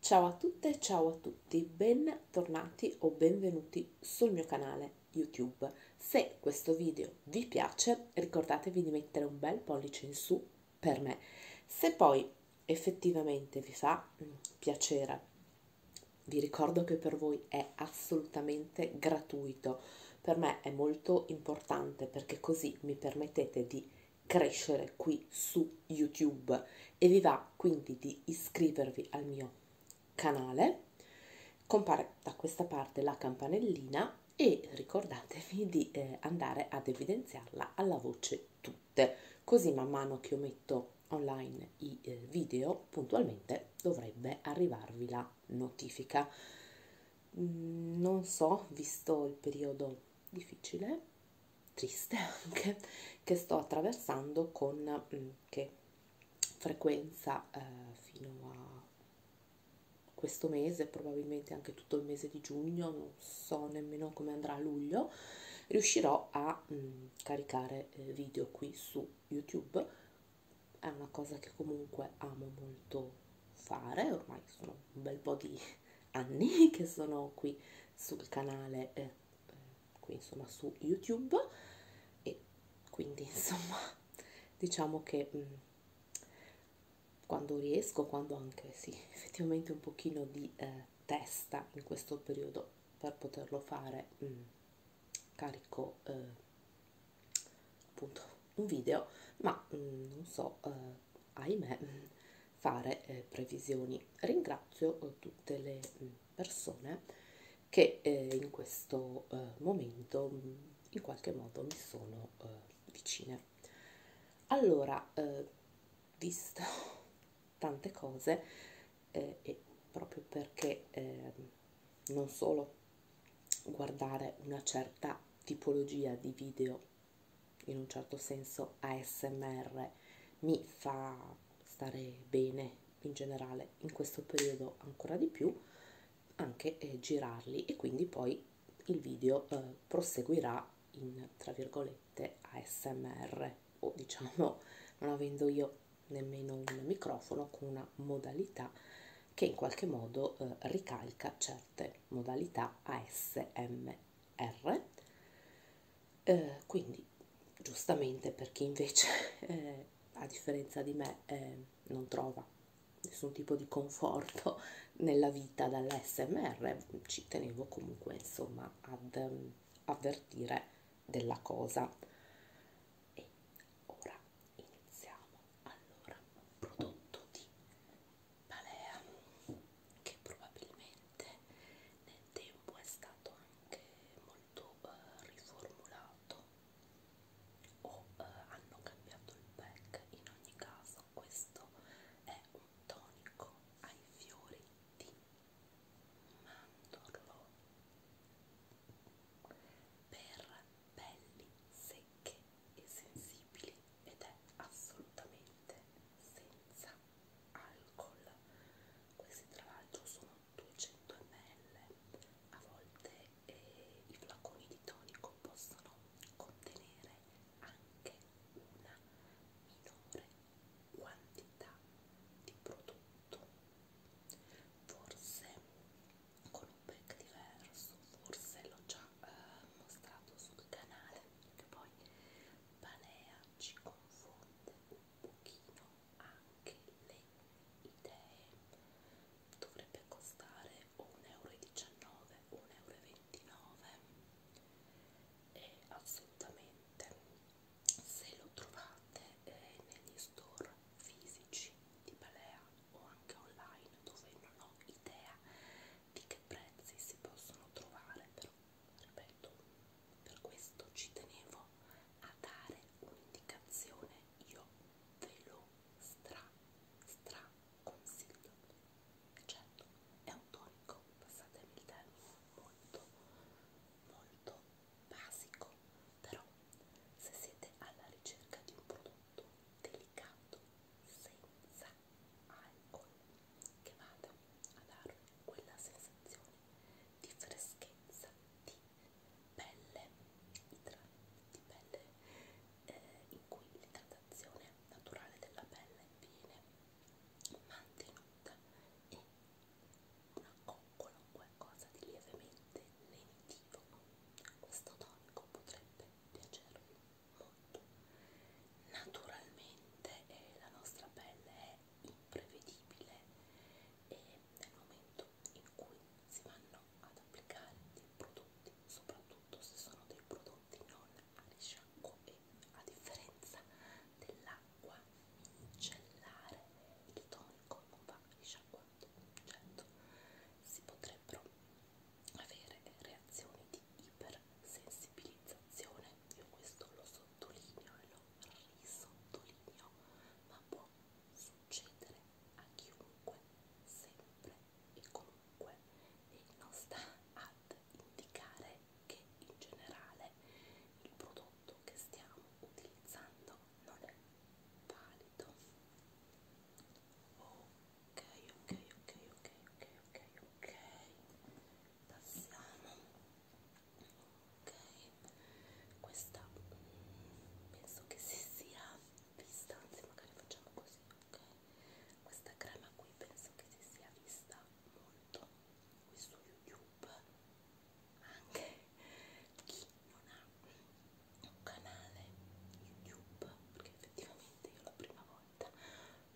Ciao a tutte, ciao a tutti, bentornati o benvenuti sul mio canale YouTube. Se questo video vi piace ricordatevi di mettere un bel pollice in su per me. Se poi effettivamente vi fa mm, piacere, vi ricordo che per voi è assolutamente gratuito. Per me è molto importante perché così mi permettete di crescere qui su YouTube e vi va quindi di iscrivervi al mio canale. Compare da questa parte la campanellina e ricordatevi di eh, andare ad evidenziarla alla voce tutte, così man mano che io metto online i eh, video puntualmente dovrebbe arrivarvi la notifica. Mm, non so, visto il periodo difficile, triste anche, che sto attraversando con mh, mm, che frequenza eh, fino a questo mese, probabilmente anche tutto il mese di giugno, non so nemmeno come andrà a luglio, riuscirò a mh, mm, caricare eh, video qui su YouTube, è una cosa che comunque amo molto fare, ormai sono un bel po' di anni che sono qui sul canale eh, qui insomma su youtube e quindi insomma diciamo che mh, mm, quando riesco quando anche sì effettivamente un pochino di eh, testa in questo periodo per poterlo fare mh, mm, carico eh, appunto un video ma mh, mm, non so eh, ahimè fare eh, previsioni. Ringrazio eh, tutte le mm, persone che eh, in questo eh, momento mm, in qualche modo mi sono eh, vicine. Allora, eh, visto tante cose eh, e proprio perché eh, non solo guardare una certa tipologia di video in un certo senso ASMR mi fa stare bene in generale in questo periodo ancora di più anche eh, girarli e quindi poi il video eh, proseguirà in tra virgolette ASMR o diciamo non avendo io nemmeno un microfono con una modalità che in qualche modo eh, ricalca certe modalità ASMR R, eh, quindi giustamente per chi invece, eh, a differenza di me, eh, non trova nessun tipo di conforto nella vita dall'SMR, ci tenevo comunque insomma ad um, avvertire della cosa. E ora iniziamo. Allora, prodotto di Balea che probabilmente nel tempo è stato anche molto eh, riformulato o eh, hanno cambiato il pack in ogni caso questo è un tonico ai fiori di mandorlo per pelli secche e sensibili ed è assolutamente senza alcol. Questi tra l'altro sono 200 ml, a volte eh, i flaconi di tonico possono contenere anche una minore quantità di prodotto, forse con un pack diverso, forse l'ho già eh, mostrato sul canale perché poi Panea ci confonde un pochino anche le idee dovrebbe costare 1,19 euro 1,29 euro e assolutamente se lo trovate eh, negli store fisici di Balea o anche online dove non ho idea di che prezzi si possono trovare però ripeto per questo ci tenevo a dare un'indicazione io ve lo stra stra consiglio certo è un tonico passatemi il termine molto molto basico però se siete alla ricerca di un prodotto delicato senza alcol che vada a darmi quella sensazione di freschezza, di pelle, di pelle eh, in cui l'idratazione naturale della pelle viene mantenuta e una coccola o qualcosa di lievemente lenitivo. Questo tonico potrebbe piacervi molto. Naturalmente eh, la nostra pelle è imprevedibile e nel momento in cui si vanno ad applicare dei prodotti, soprattutto se sono dei prodotti non alisciacquo e a differenza dell'acqua micellare, il tonico non va alisciacquato, certo, si potrebbe potrebbero avere reazioni di ipersensibilizzazione. Io questo lo sottolineo e lo risottolineo, ma può succedere a chiunque, sempre e comunque, e non sta ad indicare che in generale il prodotto che stiamo utilizzando non è valido ok, ok, ok, ok, ok, ok, passiamo, ok, questa mm, penso che si sia vista, anzi magari facciamo così, ok, questa crema qui penso che si sia vista molto qui su YouTube, anche chi non ha un canale YouTube perché effettivamente io la prima volta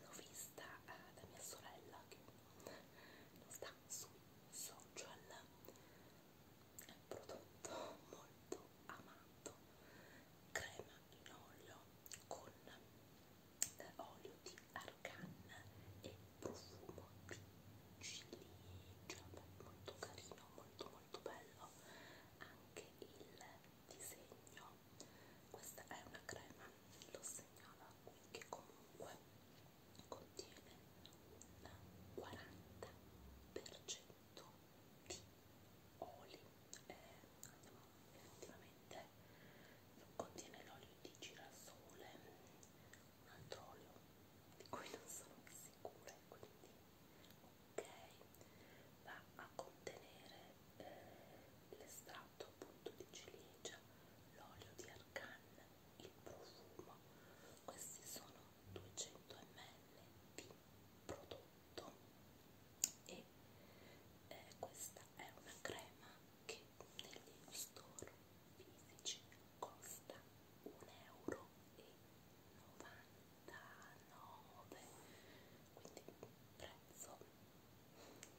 l'ho vista eh, da mia sorella che non sta sui social è un prodotto molto amato crema in olio con eh, olio di argan e profumo di ciliegia molto carino molto molto bello anche il disegno questa è una crema lo segnala qui che comunque contiene un 40% di oli eh, andiamo, effettivamente contiene l'olio di girasole un altro olio di cui non sono sicura quindi ok va a contenere eh, l'estratto appunto di ciliegia l'olio di argan il profumo questi sono 200 ml di prodotto e eh, questa è una crema che negli store fisici costa 1,90 euro quindi un prezzo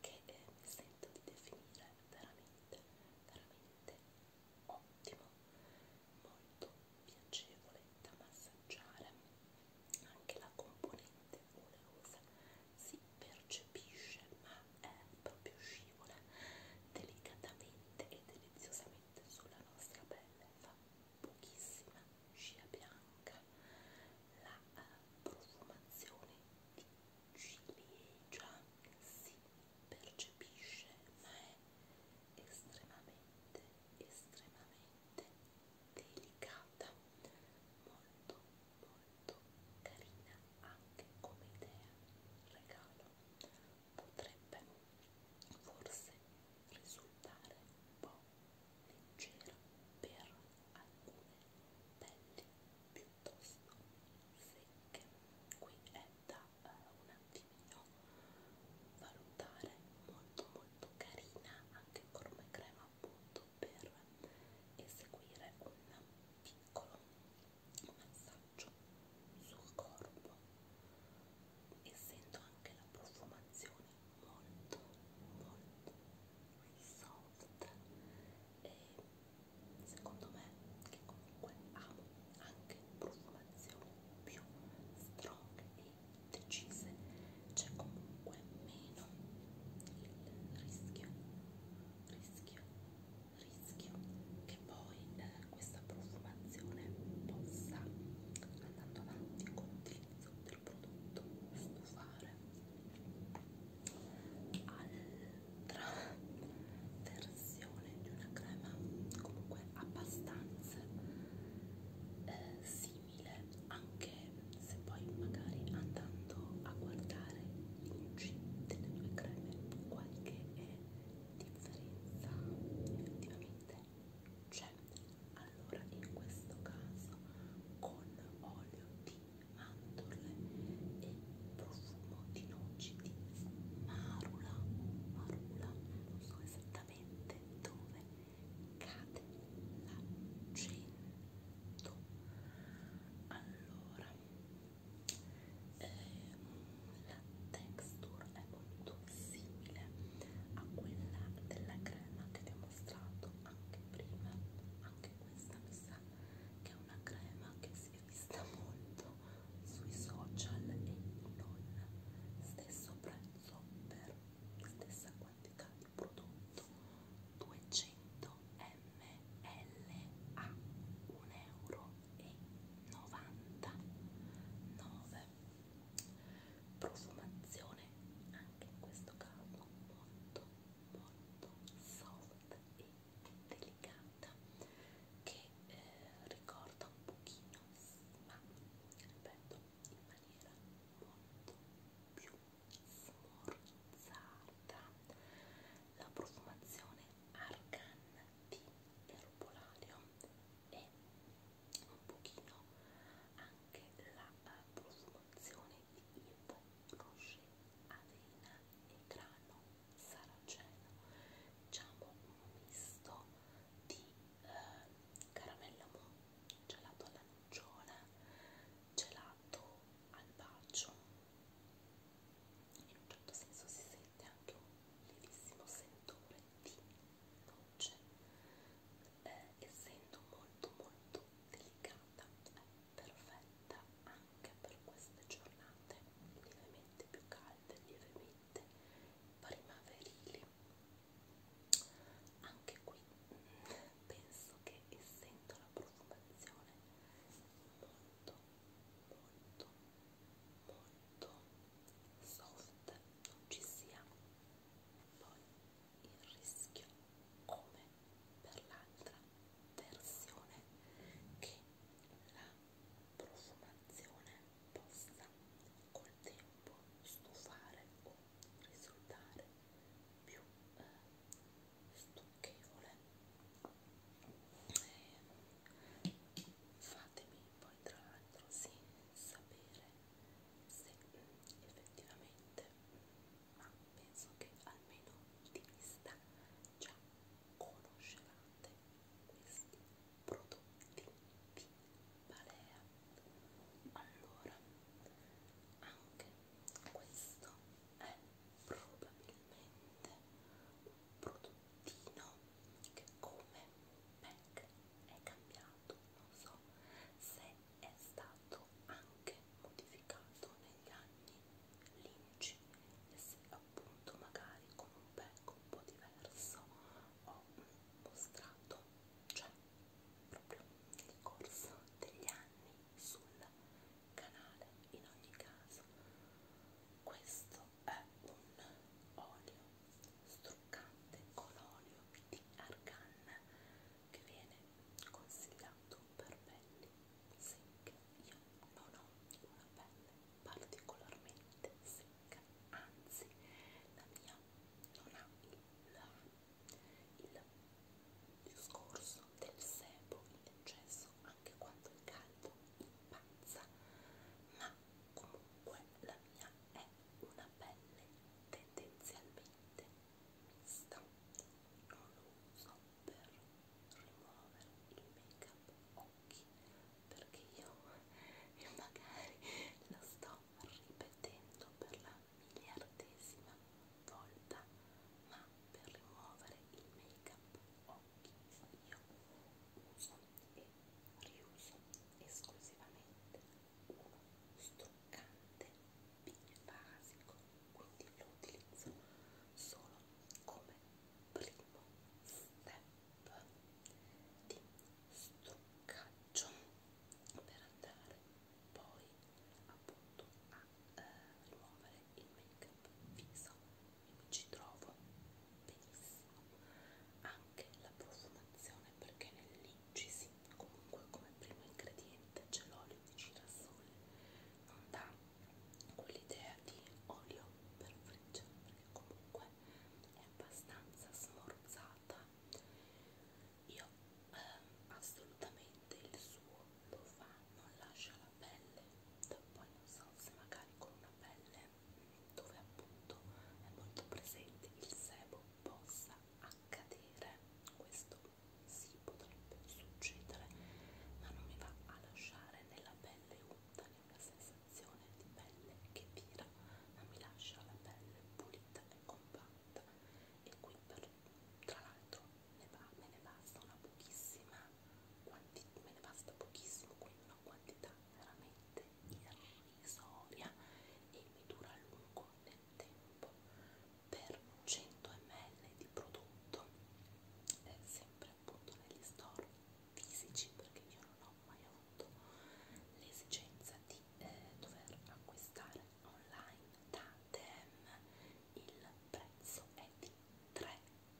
che eh, mi sento di definire veramente, veramente ottimo, molto piacevole da massaggiare, anche la componente oleosa si percepisce ma è proprio scivola delicatamente e deliziosamente sulla nostra pelle, fa pochissima scia bianca, la uh, profumazione di ciliegia si percepisce ma è estremamente, estremamente delicata, molto, molto carina anche come idea, regalo potrebbe forse risultare un po' leggera per alcune pelli piuttosto secche. Qui è da eh, un attimino valutare molto molto carina anche come crema appunto per eseguire un piccolo massaggio sul corpo essendo anche la profumazione molto molto soft e secondo me che comunque amo anche profumazioni più strong e decise c'è comunque meno il rischio rischio rischio che poi eh, questa profumazione possa, andando avanti con l'utilizzo del prodotto, stufare. Altra versione di una crema comunque abbastanza eh, simile, anche se poi magari andando a guardare i luci delle due creme qualche differenza effettivamente c'è allora in questo caso con olio di mandorle e profumo di noci di marula marula non so esattamente dove cade l'accento allora ehm, la texture è molto simile a quella della crema che vi ho mostrato anche prima anche questa mi sa che è una crema che si è vista molto sui social e non stesso prezzo per stessa quantità di prodotto 200 ml a 1,99 euro profumazione anche in questo caso molto molto soft e delicata che eh, ricorda un pochino ma ripeto in maniera molto più smorzata la profumazione Argan di Erbolario e un pochino anche la eh, profumazione di Ivo Rocher, avena e grano saraceno, diciamo un misto di eh, caramella mo, gelato alla nocciola, gelato al bacio in un certo senso si sente sente anche un levissimo sentore di noce eh, essendo molto molto delicata è perfetta anche per queste giornate lievemente più calde lievemente primaverili anche qui penso che essendo la profumazione molto molto molto soft non ci sia poi il rischio come per l'altra versione che la profumazione possa col tempo stufare o risultare più eh, stucchevole eh, fatemi poi tra l'altro senza sapere se mm, effettivamente, ma penso che almeno di vista già conoscevate questi prodotti di Balea. Allora, anche questo è probabilmente un prodotto mattino che come Mac è cambiato, non so se è stato anche modificato negli anni Lynch e se appunto magari con un pack un po' diverso ho mostrato, cioè proprio nel corso degli anni sul canale in ogni caso questo è un olio struccante con olio di argan che viene consigliato per pelli secche. Io non ho una pelle particolarmente secca, anzi la mia non ha il, il discorso del sebo in eccesso anche quando il caldo impazza, ma comunque la mia è una pelle tendenzialmente mista, non lo uso per rimuovere il make up occhi perché io e magari lo sto ripetendo per la miliardesima volta ma per rimuovere il make up occhi io uso e riuso esclusivamente uno struccante basico, quindi lo utilizzo solo come primo step di struccaggio per andare poi appunto a eh, rimuovere il make up viso ci trovo benissimo anche la profumazione perché nel lincisi comunque come primo ingrediente c'è l'olio di girasole non dà quell'idea di olio per frigge perché comunque è abbastanza smorzata io ehm, assolutamente il suo lo fa non lascia la la pelle poi non so se magari con una pelle dove appunto è molto presente il sebo possa accadere questo si sì, potrebbe succedere ma non mi va a lasciare nella pelle unta né una sensazione di pelle che tira ma mi lascia la pelle pulita e compatta e qui per, tra l'altro me ne basta una pochissima quanti, me ne basta pochissimo, quindi una quantità veramente irrisoria e mi dura a lungo nel tempo. Per 100 ml di prodotto, è sempre appunto negli store fisici, perché io non ho mai avuto l'esigenza di eh, dover acquistare online da Dem, il prezzo è di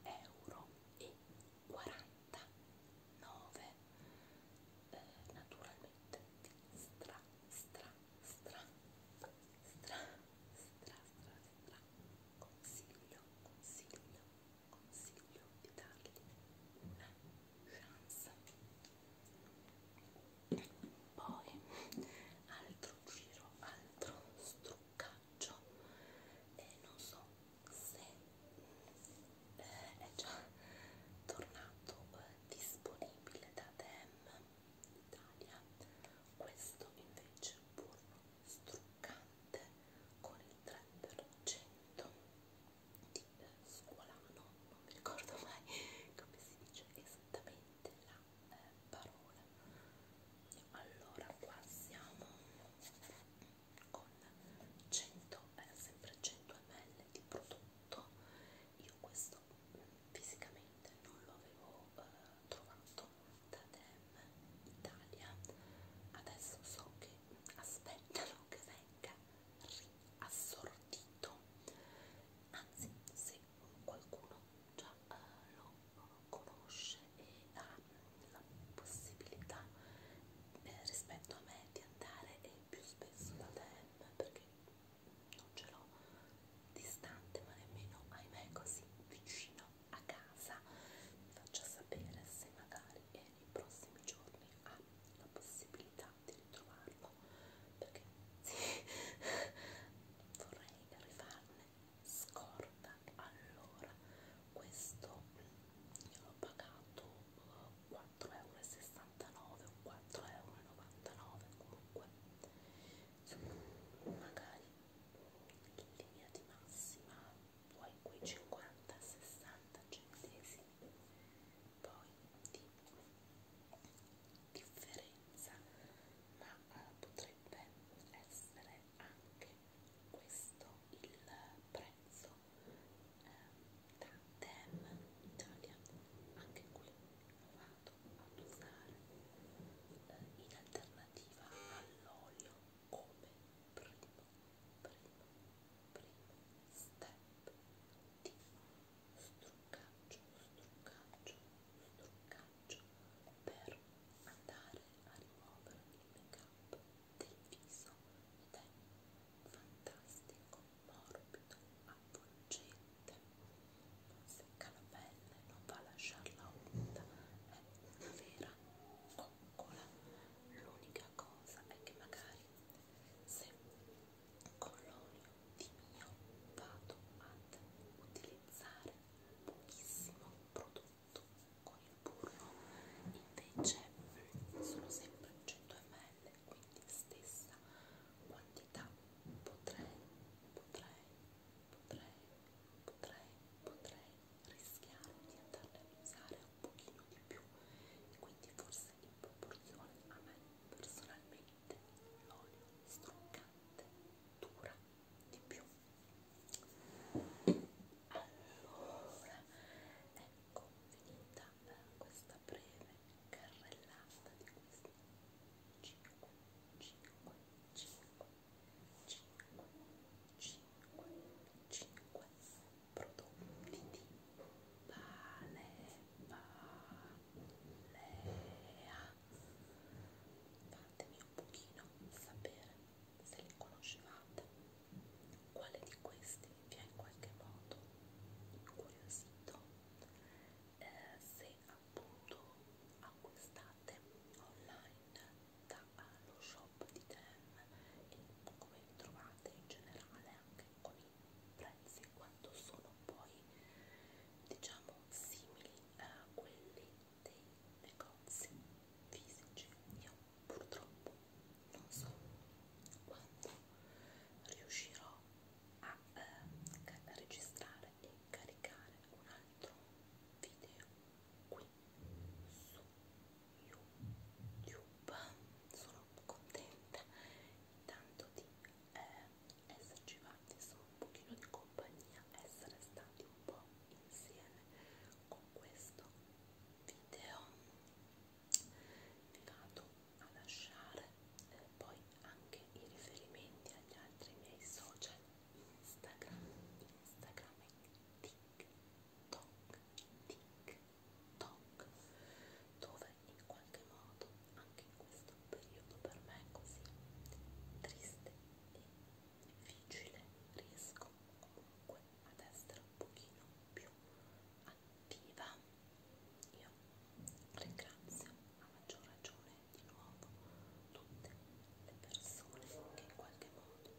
euro e 49 eh, naturalmente stra stra stra stra stra stra stra consiglio consiglio consiglio di dargli una chance poi altro giro altro struccato faccio e non so se eh, è già tornato eh, disponibile da Dem Italia questo invece è burro struccante con il 3% di eh, squalano non mi ricordo mai come si dice esattamente la eh, parole allora qua siamo con 100 eh, sempre 100 ml di prodotto io questo fisicamente non lo avevo eh, trovato da Dem Italia adesso so che aspettano che venga riassortito anzi se qualcuno già eh, lo conosce e ha la possibilità eh, rispetto a me di andare eh, più spesso da DM perché non ce l'ho distante ma nemmeno ahimè così vicino a casa mi faccia sapere se magari eh, nei prossimi giorni ha la possibilità di ritrovarlo perché sì vorrei rifarne scorta allora questo io l'ho pagato 4,69 eh, o 4,99 comunque magari in linea di massima poi quei 50 60 centesimi poi di differenza esperienza, ma eh, potrebbe essere anche questo il prezzo eh, da Dem Italia, anche qui lo vado ad usare eh, in alternativa all'olio come primo, primo, primo step di struccaggio, struccaggio un truccaggio per andare a rimuovere il make up del viso ed è fantastico, morbido, avvolgente, non secca la pelle, non va a lasciarla umida, è una vera coccola. L'unica cosa è che magari se con l'olio di mio vado ad utilizzare pochissimo prodotto con il burro invece mm, sono sempre 100 ml quindi stessa quantità potrei potrei potrei potrei potrei rischiare di andarne a usare un pochino di più e quindi forse in proporzione a me personalmente l'olio struccante dura di più allora ecco finita eh, questa breve carrellata di questi 5 5 5 5 5 5 prodotti di Balea Balea Fatemi un pochino sapere se li conoscevate, quale di questi vi ha in qualche modo incuriosito, eh, se appunto acquistate online dallo eh, shop di Tem e come vi trovate in generale anche con i prezzi quanto sono poi diciamo simili a quelli dei negozi fisici io purtroppo non so quando riuscirò a eh, registrare e caricare un altro video qui su YouTube sono contenta tanto di eh, esserci fatti su un pochino di compagnia, essere stati un po' insieme con questo video vi vado a lasciare eh, poi anche i riferimenti agli altri miei social Instagram, Instagram e TikTok, TikTok dove in qualche modo anche in questo periodo per me così triste e difficile riesco comunque ad essere un pochino più attiva io ringrazio a maggior ragione di nuovo tutte le persone che in qualche modo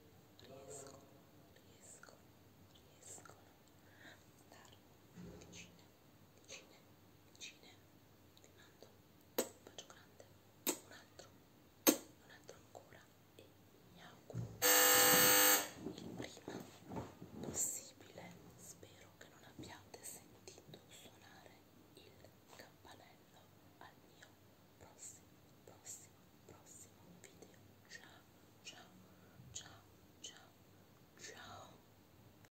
riescono riescono riescono a stare vicine Cine, Cine, ti mando un bacio grande, un altro, un altro ancora e mi auguro il prima possibile. Spero che non abbiate sentito suonare il campanello al mio prossimo, prossimo, prossimo video. Ciao, ciao, ciao, ciao, ciao.